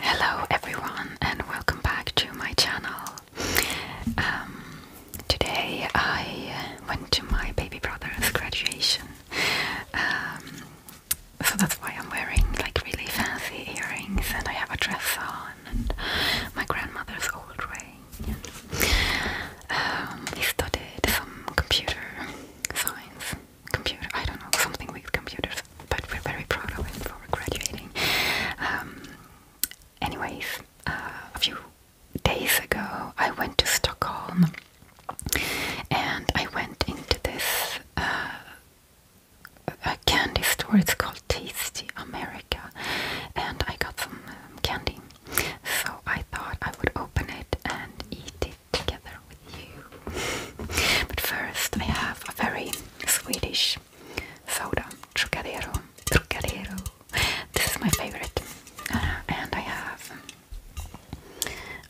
Hello everyone and welcome back to my channel. Um, today I went to my baby brother's graduation, um, so that's why I'm wearing like really fancy earrings and I have a dress on and my grandmother's old ring. Um, studied some computer science computer, I don't know, something with computers, but we're very proud of him for graduating. Um, anyways, uh, a few days ago I went to Stockholm and I went into this uh, candy store, it's called Tasty America, and I got some um, candy. So I thought I would open it and eat it together with you. but first, I have a very Swedish soda, Trocadero. Trocadero. This is my favorite. Uh, and I have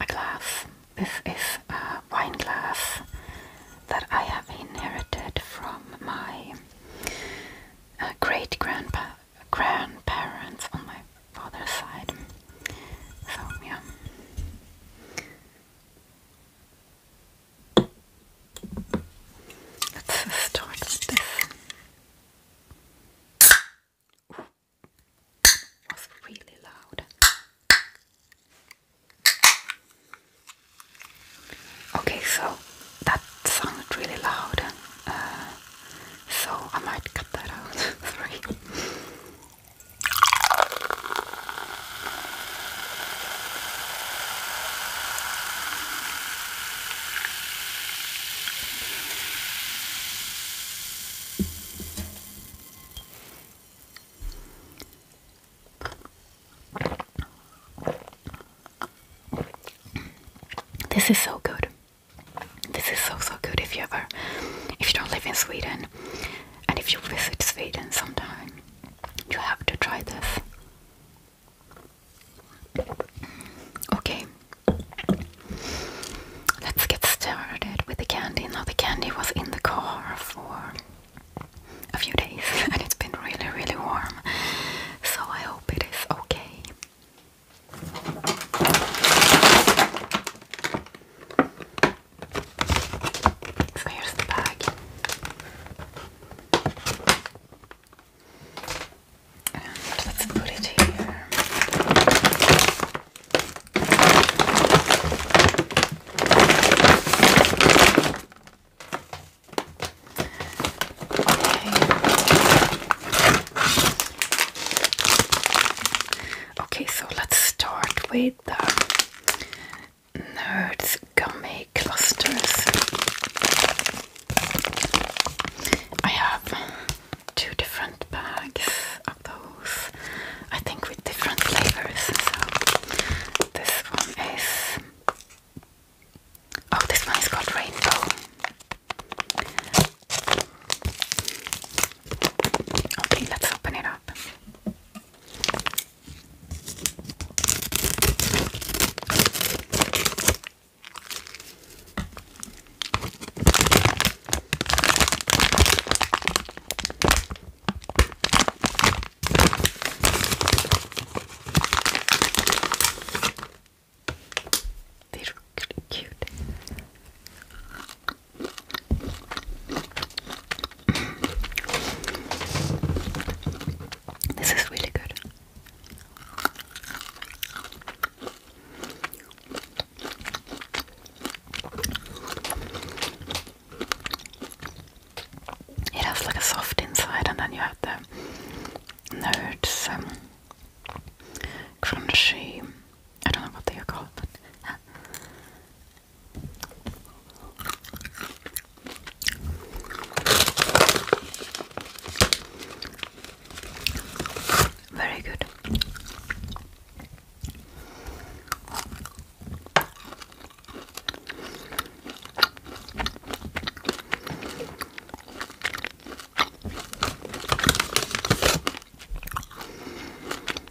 a glass. This is a wine glass that I have inherited from my uh, great grandpa grandparents on my father's side. So yeah, Let's start with this. that was really loud. Okay, so that sounded really loud, uh, so I might cut that out. Sorry. This is so good. This is so so good. If you ever, if you don't live in Sweden, and if you visit Sweden sometime, you have to try this. Okay, let's get started with the candy. Now, the candy was in the car for a few days and it's been really, really warm, so I hope it is okay. So the bag. let's put it here. Okay. Okay, so let's start with Nerds Gummy Clusters. I have two different bags of those, I think with different flavors. So this one is. Oh, this one is called Rainbow. Okay, let's open it up. They're really cute. This is really good. It has like a soft inside, and then you have the nerds, um, crunchy I don't know what they are called, but yeah. Very good.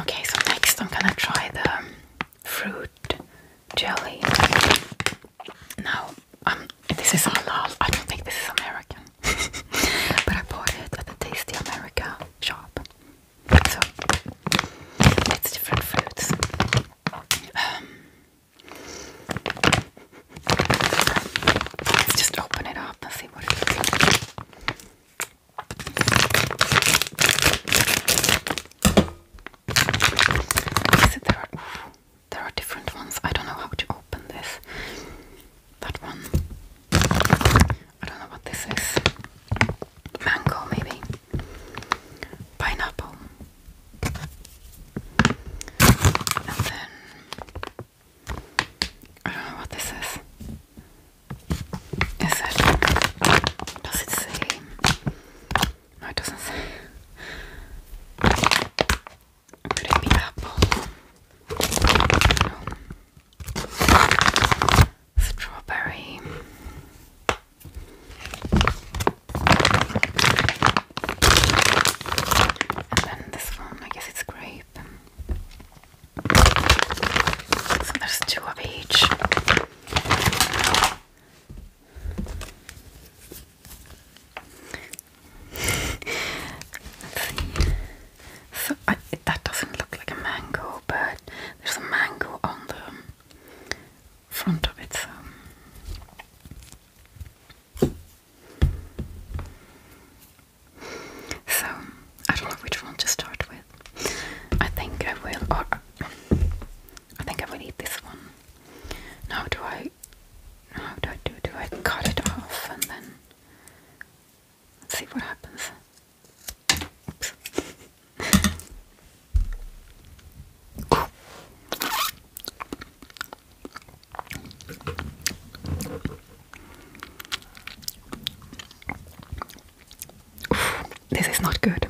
Okay, so next I'm gonna try the um, fruit jelly. Now, um, this is halal. I don't think this is American, but I bought it at the Tasty America shop. So it's different fruits. Um, let's just open it up and see what it is there, are, there are different ones. I don't know how to open this. That one. I don't know what this is. Mango, maybe. Pineapple. And then I don't know what this is. Is it? it No, it doesn't Could it be apple? Strawberry. And then this one, I guess it's grape. So there's two of each. Let's see. So that doesn't look like a mango, but there's a mango on the front of it. So. So I don't know which one to start with. I think I will, or I think I will eat this one. Now do I? How do I do? Do I cut it off and then let's see what happens? This is not good.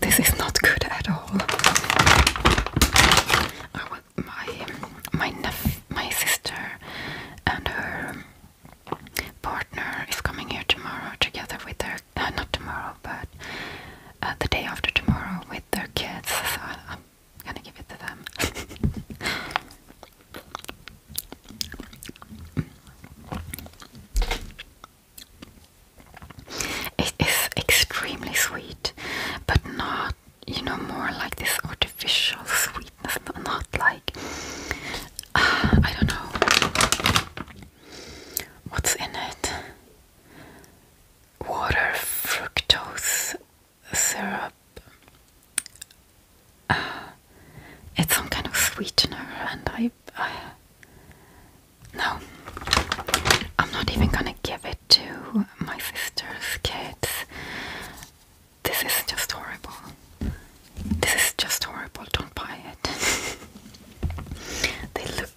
This is not good at all. my my sister, and her partner is coming here tomorrow together with their uh, not tomorrow but uh, the day after tomorrow with their kids. So I'm gonna give it to them. It is extremely sweet, but not, you know, more like this artificial sweetness, but not like, I don't know, what's in it? Water, fructose, syrup. Uh, it's some kind of sweetener, and I. Uh, no, I'm not even gonna give it to my sister's kids. This is just horrible. This is just horrible. Don't buy it. they look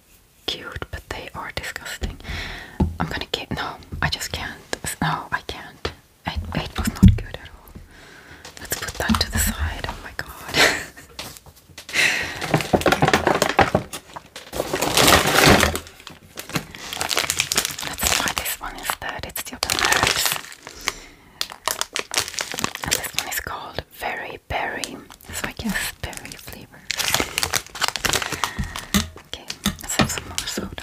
cute, but they are disgusting. I'm gonna give. No, I just can't. No, I can't. It, it was not good at all. Let's put that to the side. Oh my god. That's why this one is instead. It's the other herbs. And this one is called Very Berry. So I guess berry flavor. Okay, let's have some more soda.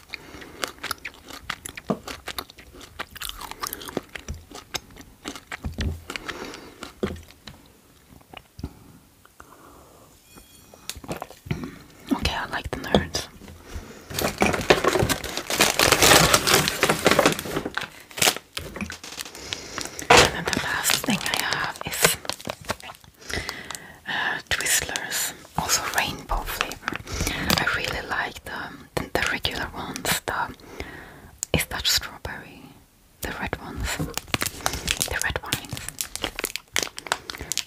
Okay, I like the nerds. And then the last thing I have is uh, Twizzlers, also rainbow flavor. I really like them. Um, than the regular ones. The is that strawberry? The red ones. The red wines.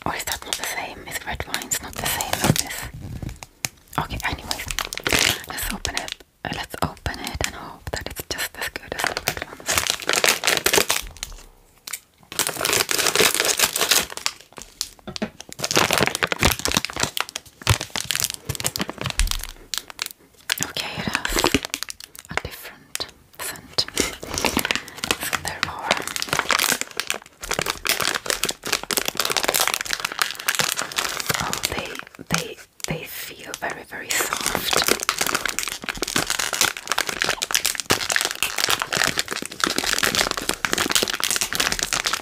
Or is that not the same? Is red wine not the same as this? Okay, anyways. Let's open it. Let's open it and hope that it's just as good as the red ones. Okay, you have a different scent than oh, they they they feel very very soft.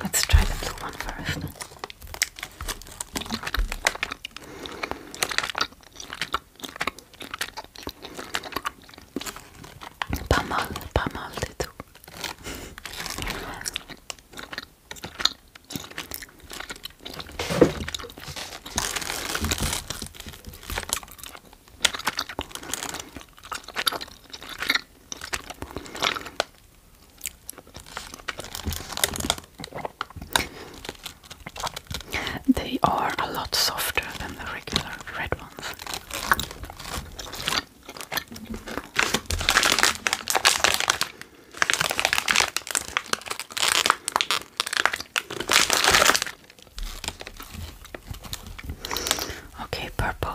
Let's try the blue one first. Pas mal, pas mal du tout. They are a lot softer than the regular red ones. Okay, purple.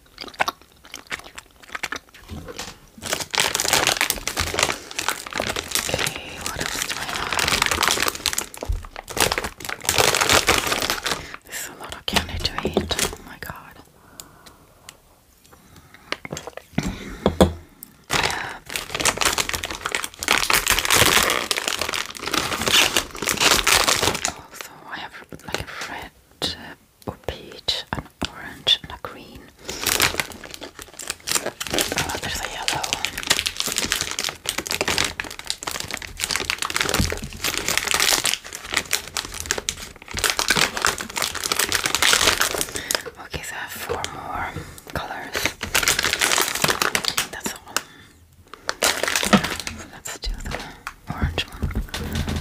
Okay, what else do I have? This is a lot of candy to eat. Oh my god. also I have like a red or peach, an orange, and a green. Oh, there's a yellow. Okay, so I have four more colors. That's all. Let's do the orange one.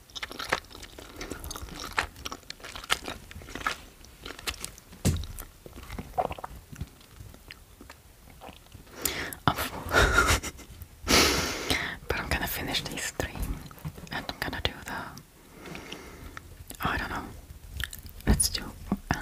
I'm full. but I'm gonna finish these three, and I'm gonna do the. Oh, I don't know. Let's do. Uh,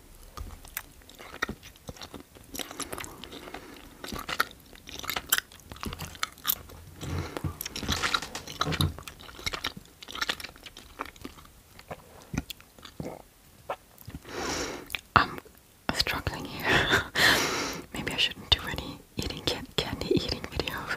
I'm struggling here. Maybe I shouldn't do any eating candy eating videos.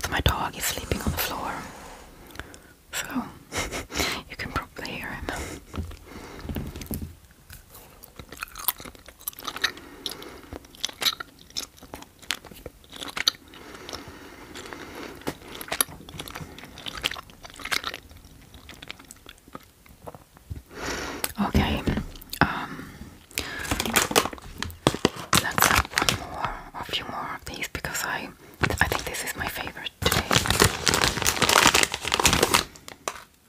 So my dog is sleeping on the floor, so you can probably hear him. Okay, um, let's have one more, a few more of these because I, I think this is my favorite today.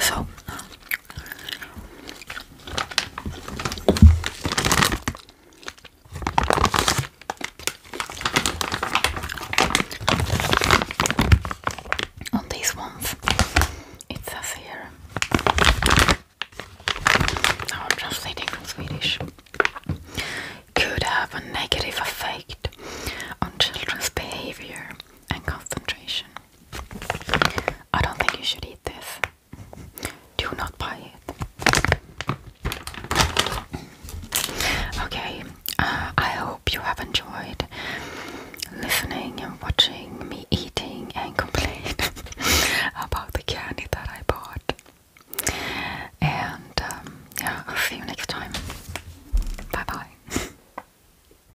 So on these ones, it says here. Now I'm translating from Swedish. Could have a negative effect on children's behavior and concentration. I don't think you should eat this. Do not buy it. Okay, uh, I hope you have enjoyed listening and watching me eating and complaining about the candy that I bought. And um, yeah, I'll see you next time. Bye bye.